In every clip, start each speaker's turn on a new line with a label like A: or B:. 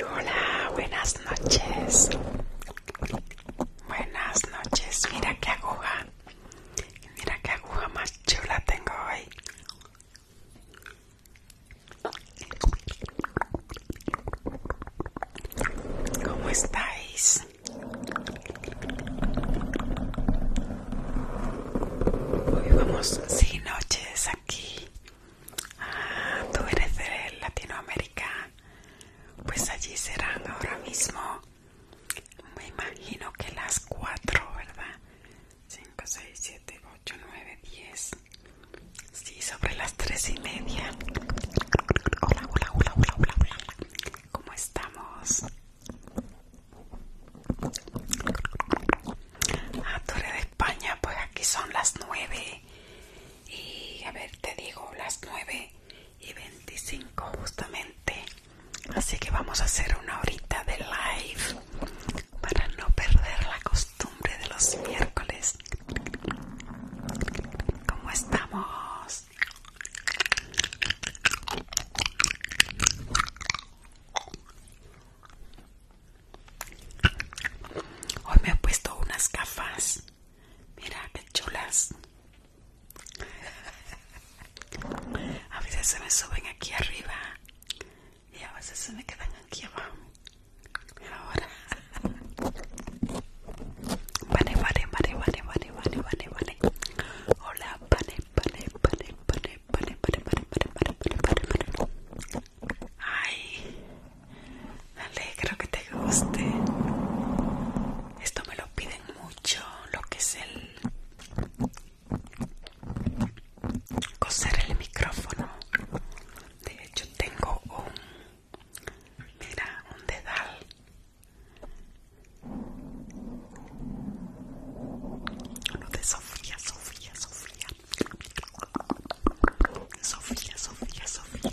A: Hola, buenas noches. Buenas noches, mira qué aguja. Mira qué aguja más chula tengo hoy. ¿Cómo estáis? Hoy vamos sin noches aquí. Ah, tú eres de Latinoamérica pues allí serán ahora mismo me imagino que las 4 verdad 5 6 7 8 9 10 sí sobre las 3 y media hola hola hola hola hola hola cómo estamos Ah, Torre de España, pues aquí son las 9 y a ver te digo las 9 y 25 justamente así que vamos a hacer una horita de live para no perder la costumbre de los miércoles ¿Cómo estamos? Hoy me he puesto unas gafas Mira qué chulas. A veces se me suben aquí arriba y a veces se me quedan aquí abajo. Ahora. Vale, vale, vale, vale, vale, vale, vale, vale. Hola, vale, vale, vale, vale, vale, vale, vale, vale, vale, vale, vale. Ay, Me creo que te guste. Esto me lo piden mucho, lo que es el coser el micrófono. De hecho tengo un mira, un dedal. Uno de Sofía, Sofía, Sofía. Sofía, Sofía, Sofía.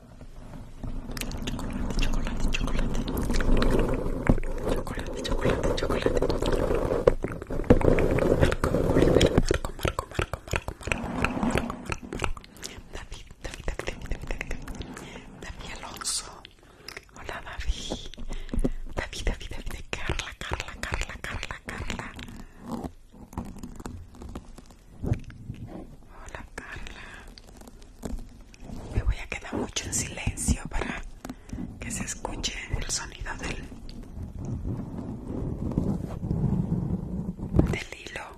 A: chocolate, chocolate, chocolate, chocolate, chocolate, chocolate, Marco, Marco, Marco, Marco, Marco, Marco, Marco, David, David, Alonso, hola David, Carla, Carla, Carla, Carla. Hola Carla me voy a quedar mucho en silencio para que se escuche el sonido del, hilo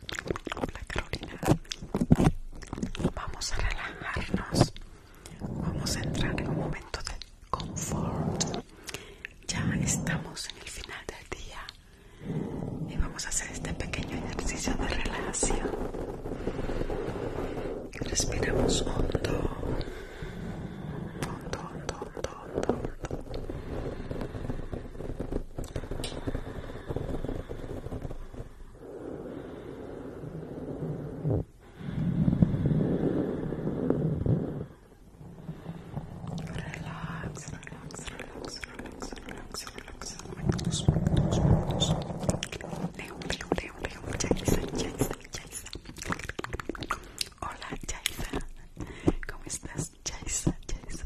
A: Hola Carolina. Vamos a relajarnos. Vamos a entrar en un momento de confort. Ya estamos en el final del día y vamos a hacer este pequeño ejercicio de relajación. Respiramos Hondo, hondo, hondo, hondo, hondo. Relax, relax, relax, relax, relax, relax. Muitos, muitos, muitos. Leo, Leo, Leo, Leo. Jaisa, Jaisa, Jaisa. Hola, Jaisa. ¿Cómo estás, Jaisa, Jaisa?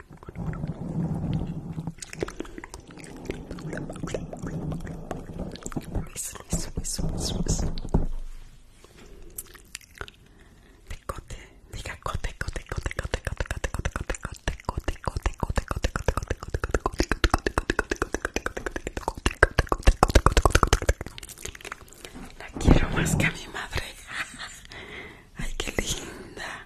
A: la quiero más que a mi madre. Ay, qué linda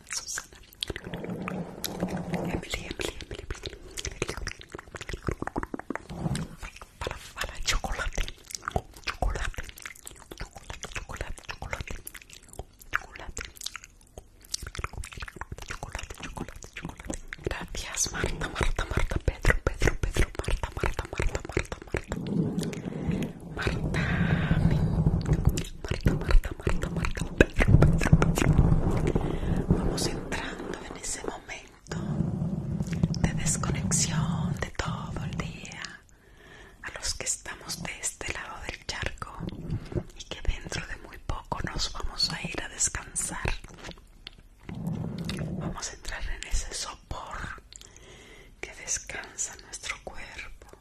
A: Susana, Emily, Emily, chocolate. Chocolate. Chocolate, chocolate, chocolate. Gracias, Marta, Marta, Marta, Pedro, Pedro, Pedro, Marta, Marta, Marta, Marta, Marta. Marta, Marta, Marta, Marta, Marta, Pedro, Pedro, Pedro. Vamos entrando en ese momento de desconexión de todo el día. A los que estamos de este lado del charco y que dentro de muy poco nos vamos a ir a descansar. Vamos a entrar en ese sopor que descansa nuestro cuerpo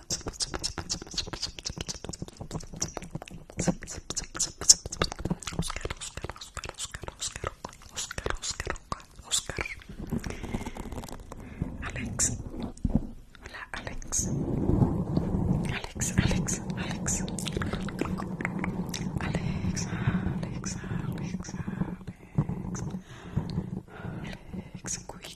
A: Oscar, Alex, hola Alex, Alex, Alex, Alex, Alex, Alex, Alex, Alex, Alex,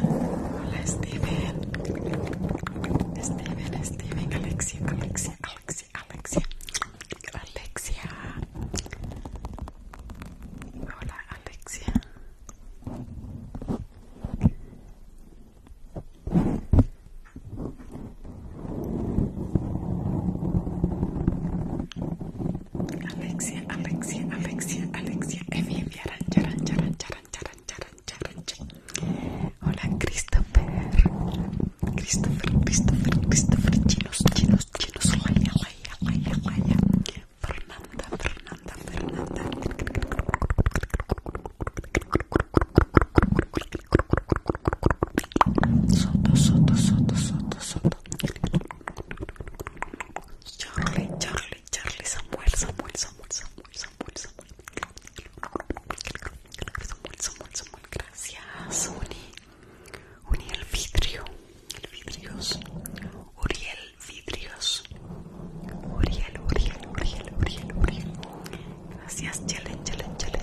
A: Hola, Steven. Steven, Steven, Alexia, Alexia, Alexia, Alexia. Alexia. Hola, Alexia. Alexia, Alexia, Alexia, Alexia. Alexia charan, charan, charan, charan, charan, Hola, Christopher. Christopher, Christopher, Christopher. Chinos, chinos, chinos. raya, raya, raya, raya Fernanda, Fernanda, Fernanda. Soto, soto, soto, soto, soto. Charlie, Charlie, Charlie, Samuel, Samuel, Samuel, Samuel gracias. Uni, vidrio, el vidrios, Uriel vidrios, Uriel, Uriel, Uriel, Uriel, Uriel. Gracias, chelen, chelen, chelen,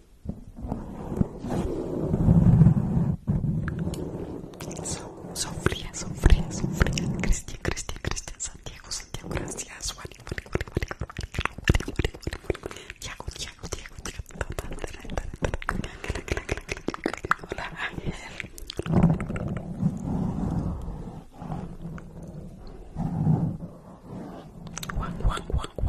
A: Son, sofría, frías, Cristian, Cristian, Cristian, Santiago, Santiago, gracias. Juan, Juan, Juan,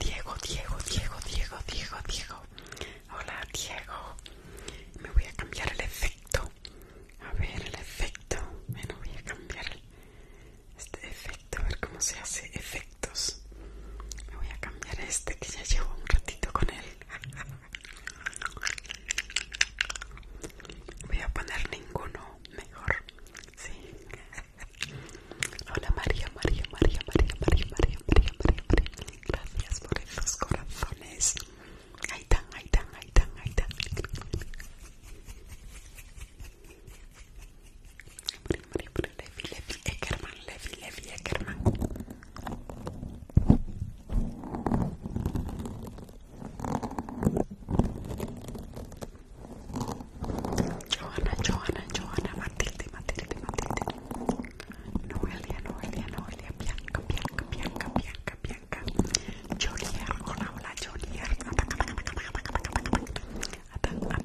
A: Diego, Diego, Diego, Diego, Diego, Diego. Hola, Diego. Me voy a cambiar el efecto. A ver, el efecto. Bueno, voy a cambiar este efecto. A ver cómo se hace efectos. Me voy a cambiar este que ya llevo un ratito con él. Voy a poner ninguno mejor. Hola María, María, María, María, María, María, María, María, Gracias por esos corazones. Ahí ahí Levi, Levi, Levi, Levi, Eckerman. Johanna, Johanna, Johanna, Matilde, Matilde, Matilde Noelia, Noelia, Noelia, Bianca, Bianca, Bianca, Bianca, Bianca Jolier, hola, hola, Jolier Atang, atang, atang, atang, atang, atang Atang, atang, atang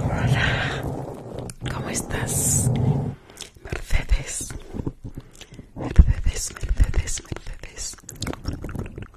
A: Hola, ¿cómo estás? Mercedes, Mercedes, Mercedes, Mercedes, Mercedes,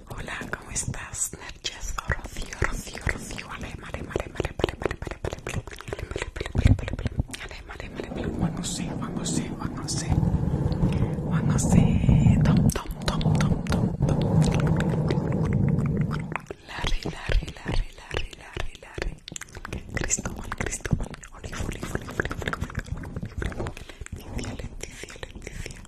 A: Hola, ¿cómo estás? Rocio, Rocio Tom, Tom, Tom, Tom, Tom, Larry, Larry, Larry, Larry, Cristóbal, Cristóbal,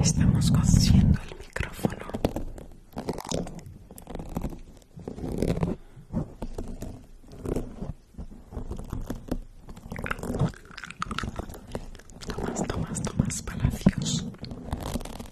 A: Estamos cosiendo el micrófono. Tomás, Tomás, Tomás Palacios.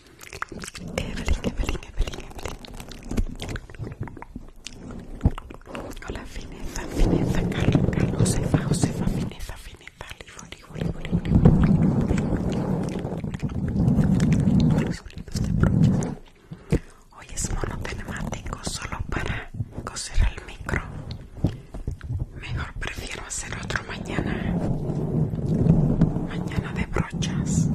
A: Evelyn, Evelyn, Evelyn, Evelyn. Hola, Fineza, Fineza, Carlos, Carlos, Josefa, Josefa, Fineza, Fineza, Libro, Libro, de brochas Hoy es monotemático solo para coser al micro. Mejor prefiero hacer otro mañana. Mañana de brochas.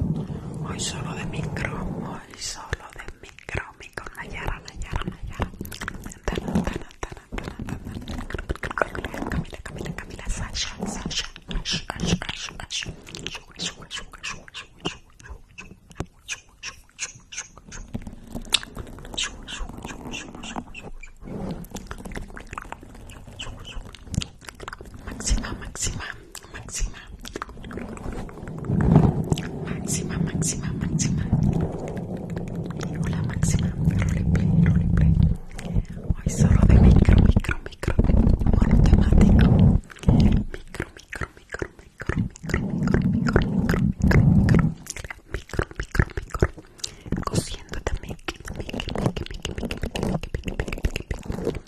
A: Hoy solo de micro, hoy solo de micro, micro, Nayara, Nayara, Nayara. Tana, tana, tana, tana, Camila, Camila, máxima, máxima, máxima, máxima, máxima, máxima, hola máxima, roleplay, roleplay, hoy solo de micro, micro, micro, temático micro, micro, micro, micro, micro, micro, micro, micro, micro, micro, micro, micro, micro, micro micro micro micro micro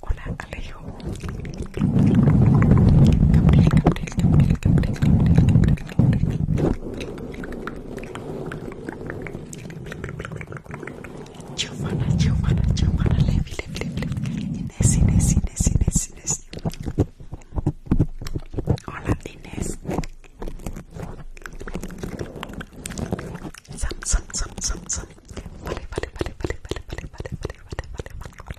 A: Hola, Alejo. Gabriel, Giovanna, Levi, Inés, Hola, Inés. Sam, Sam, Sam, Vale, vale, vale, vale, vale, vale, vale, vale, vale, vale, vale.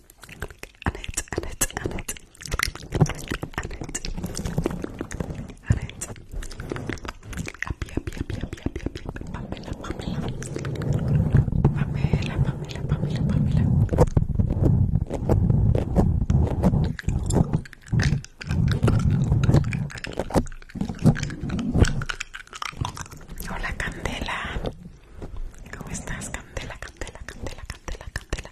A: Annette, Annette, Annette, Annette, Annette, Papela, Papela Papela, Papela, Papela, Papela Pamela, Pamela, Pamela, Pamela, Pamela, Pamela. Hola Candela. ¿Cómo estás, Candela? Candela, Candela, Candela, Candela.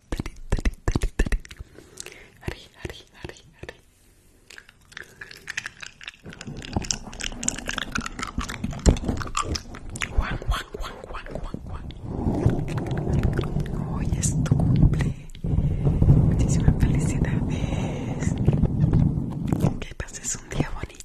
A: tali, tali, tali, tali. Ari, ari, ari, ari. Juan, guan, guan, guan, guan, guan Hoy es tu cumple. Muchísimas felicidades. Que pases un día bonito.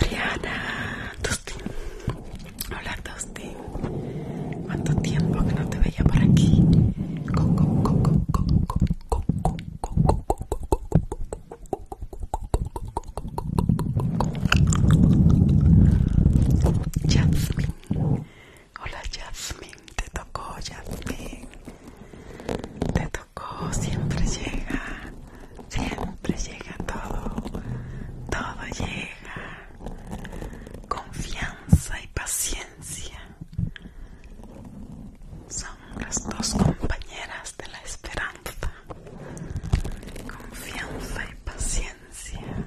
A: Adriana, Dustin. Hola, Dustin. ¿Cuánto tiempo que no te veía por aquí? Hola Jasmine, te tocó Jasmine. Te tocó, siempre llega. Siempre llega todo. Todo llega. Confianza y paciencia. Son las dos compañeras de la esperanza. Confianza y paciencia.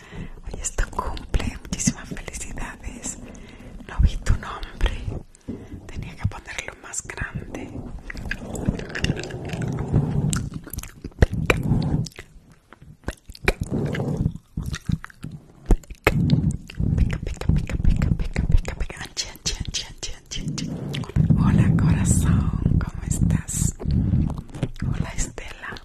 A: Hoy es tu cumple, muchísimas felicidades. No vi tu nombre, tenía que ponerlo más grande. Hola corazón, ¿cómo estás? Hola Estela,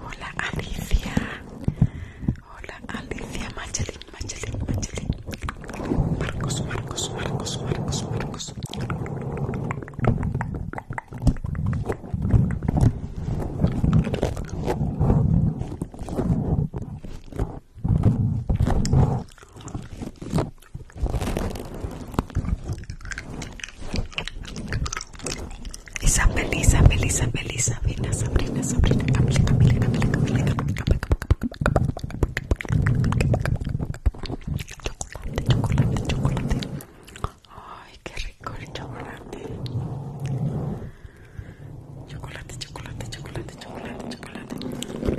A: Hola, Alicia. Hola, Alicia. Marcos, Marcos, Marcos, Marcos, Marcos. Isabel, Isabel, Isabel, Isabel, Sabrina, Sabrina, Camila, Camila, Camila, Chocolate, chocolate, chocolate. Ay, qué rico el chocolate. Chocolate, chocolate, chocolate, chocolate, chocolate.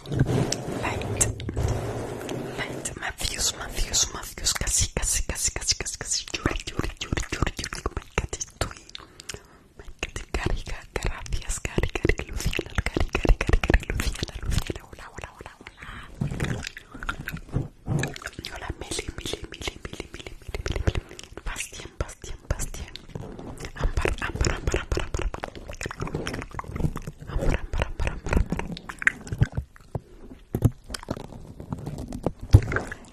A: Light. Light. Matthews, Matthews, Matthews. Casi, casi, casi, casi, casi, casi. Yuri, Yuri, Yuri, Yuri, Yuri. My cat is doing. My cat is Gary, gracias, Gary, Gary, Luciana, Gary, Gary, Gary, Gary, Luciana, Luciana. Hola, hola, hola, hola. Hola, Meli, Meli, Meli, Meli, Meli, Meli, Meli, Meli. Bastien, Bastien, Bastien. Ampar, ampar, ampar, ampar, ampar, ampar.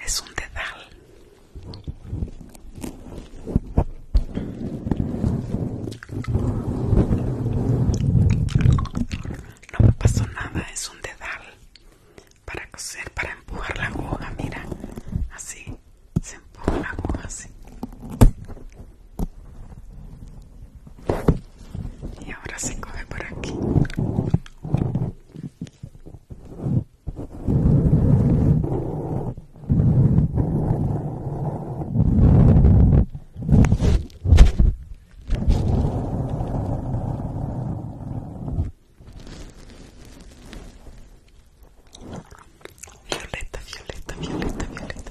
A: Es un dedal. No me pasó nada, es un dedal para coser, para empujar la aguja, mira, así se empuja la aguja así. Y ahora se come por aquí. Violeta, violeta, violeta, violeta.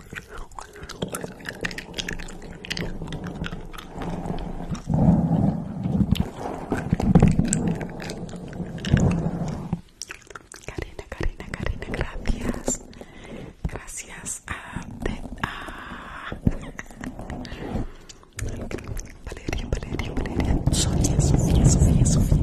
A: Karina, Karina, Karina, gracias. Gracias a, de, a... Valeria, Valeria, Valeria, Sofía, Sofía, Sofía.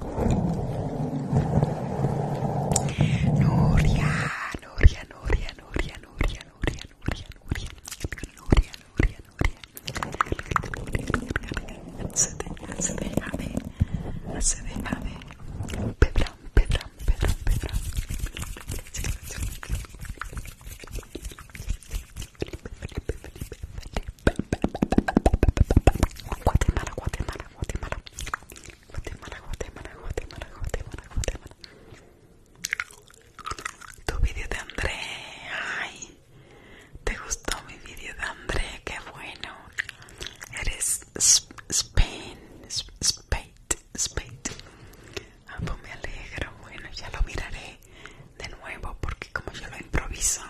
A: Nuria, Nuria, Nuria, Nuria, Nuria, Nuria, Nuria, Nuria, Se deja, se Guatemala, Guatemala, Guatemala. Guatemala, Guatemala, Guatemala, Guatemala, Guatemala. Tu vídeo de André, ay, te gustó mi vídeo de André, qué bueno. Eres Spain, Spate, pues me alegro, bueno, ya lo miraré de nuevo porque como yo lo improviso,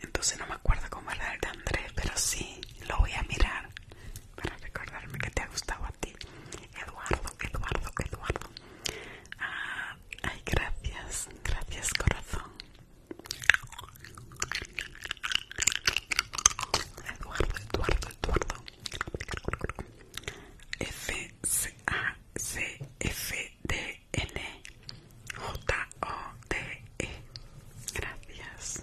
A: entonces no me acuerdo cómo era el de André, pero sí, lo voy a mirar para recordarme que te ha gustado a ti. Eduardo, Eduardo, Eduardo. Ah, ay, gracias, gracias corazón. Eduardo, Eduardo, Eduardo. F C A C F D N J O D E. Gracias.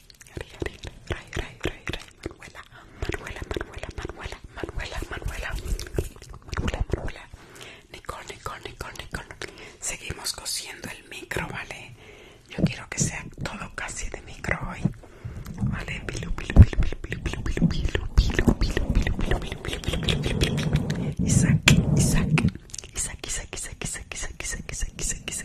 A: Ray, Ray, Ray, Ray, Manuela, Manuela, Manuela, Manuela, Manuela, Manuela, Manuela, Manuela, Nicole, Nicole, Nicole, Nicole. Seguimos cosiendo el micro, ¿vale? Yo quiero que sea todo casi de micro hoy. Vale, Isaac, Isaac, Isaac, Isaac, Isaac, Isaac, Isaac, Isaac, Isaac,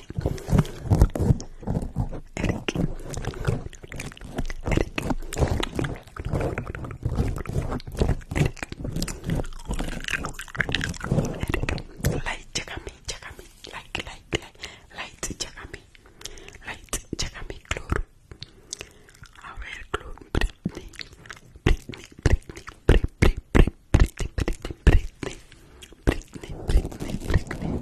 A: Eric, Eric, Eric, light, check me, check me, light, light, light, light, check me, light, check me, clue. A ver, clue, Britney, Britney, Britney, Britney, Britney, Britney, Britney, Britney, Britney, Britney, Britney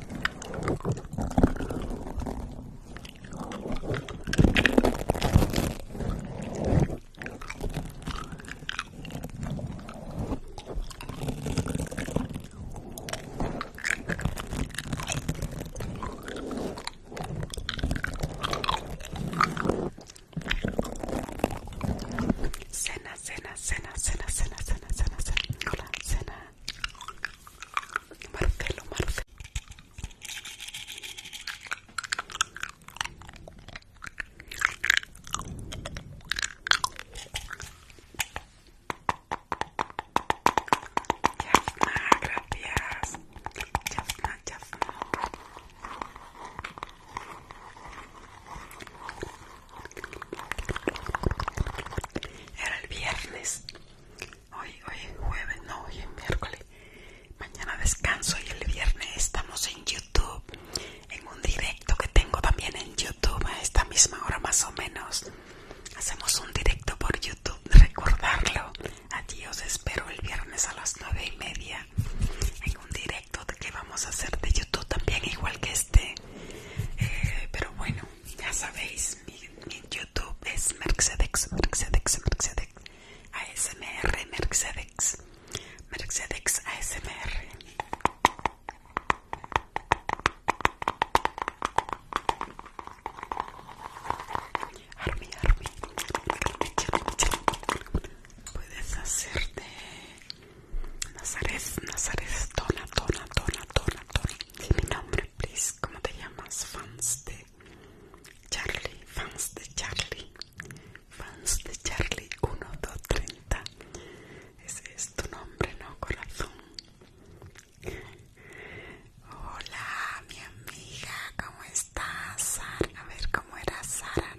A: cena, cena, cena, Marcelo, Marcelo. Gracias, gracias. Era el viernes. Hoy, hoy jueves, no, hoy es miércoles. Mañana descanso y el viernes estamos en YouTube. En un directo que tengo también en YouTube a esta misma hora más o menos. Hacemos un directo por YouTube, recordarlo. Allí os espero el viernes a las nueve y media. En un directo que vamos a hacer de YouTube también, igual que este. Eh, pero bueno, ya sabéis, mi, YouTube es Mercedex, ASMR, merxedex Mercedex ASMR. armi armi puedes hacerte Nazareth Nazares, Dona, Dona, Dona, Dona, Dona. Dime mi nombre, please. ¿Cómo te llamas? Fans de Charlie, fans de Charlie, fans de Charlie 1230. Ese es tu nombre, ¿no, corazón? Hola, mi amiga, ¿cómo estás? A ver, ¿cómo era Sara?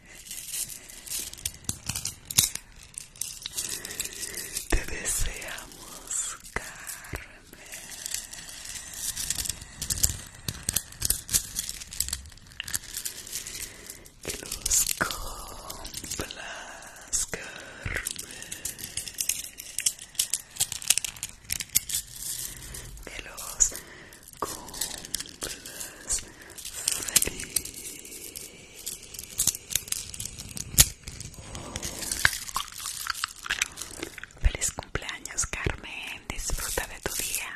A: Te deseamos, Carmen. Que los cumplas, Carmen. Que los cumplas feliz. Feliz cumpleaños, Carmen. Disfruta de tu día.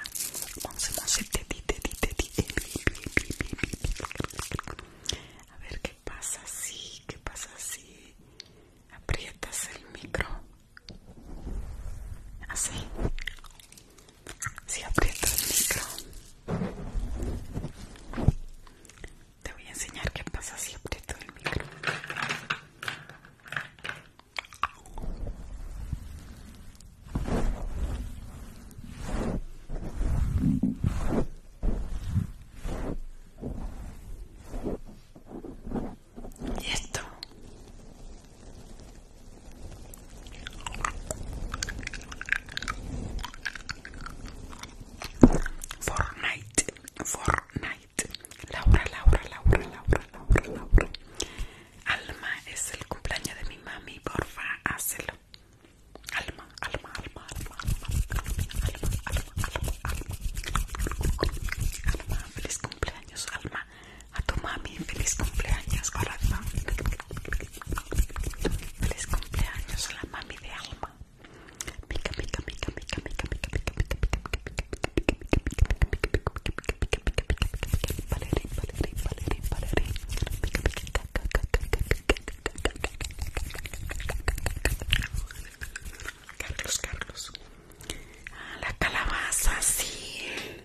A: A ver qué pasa así, qué pasa así. Aprietas el micro. Así. Si aprieto el micro, te voy a enseñar qué pasa si aprieto el micro. Y esto Fortnite, Fortnite. Laura, Laura, Laura, Laura, Laura, Laura. Alma, es el cumpleaños de mi mami, porfa, házelo. Alma, alma, alma, alma, alma, alma, alma, alma, alma. feliz cumpleaños, alma. A tu mami, feliz cumpleaños, corazón. Feliz cumpleaños a la mami de Alma. Carlos, Carlos. la calabaza, sí.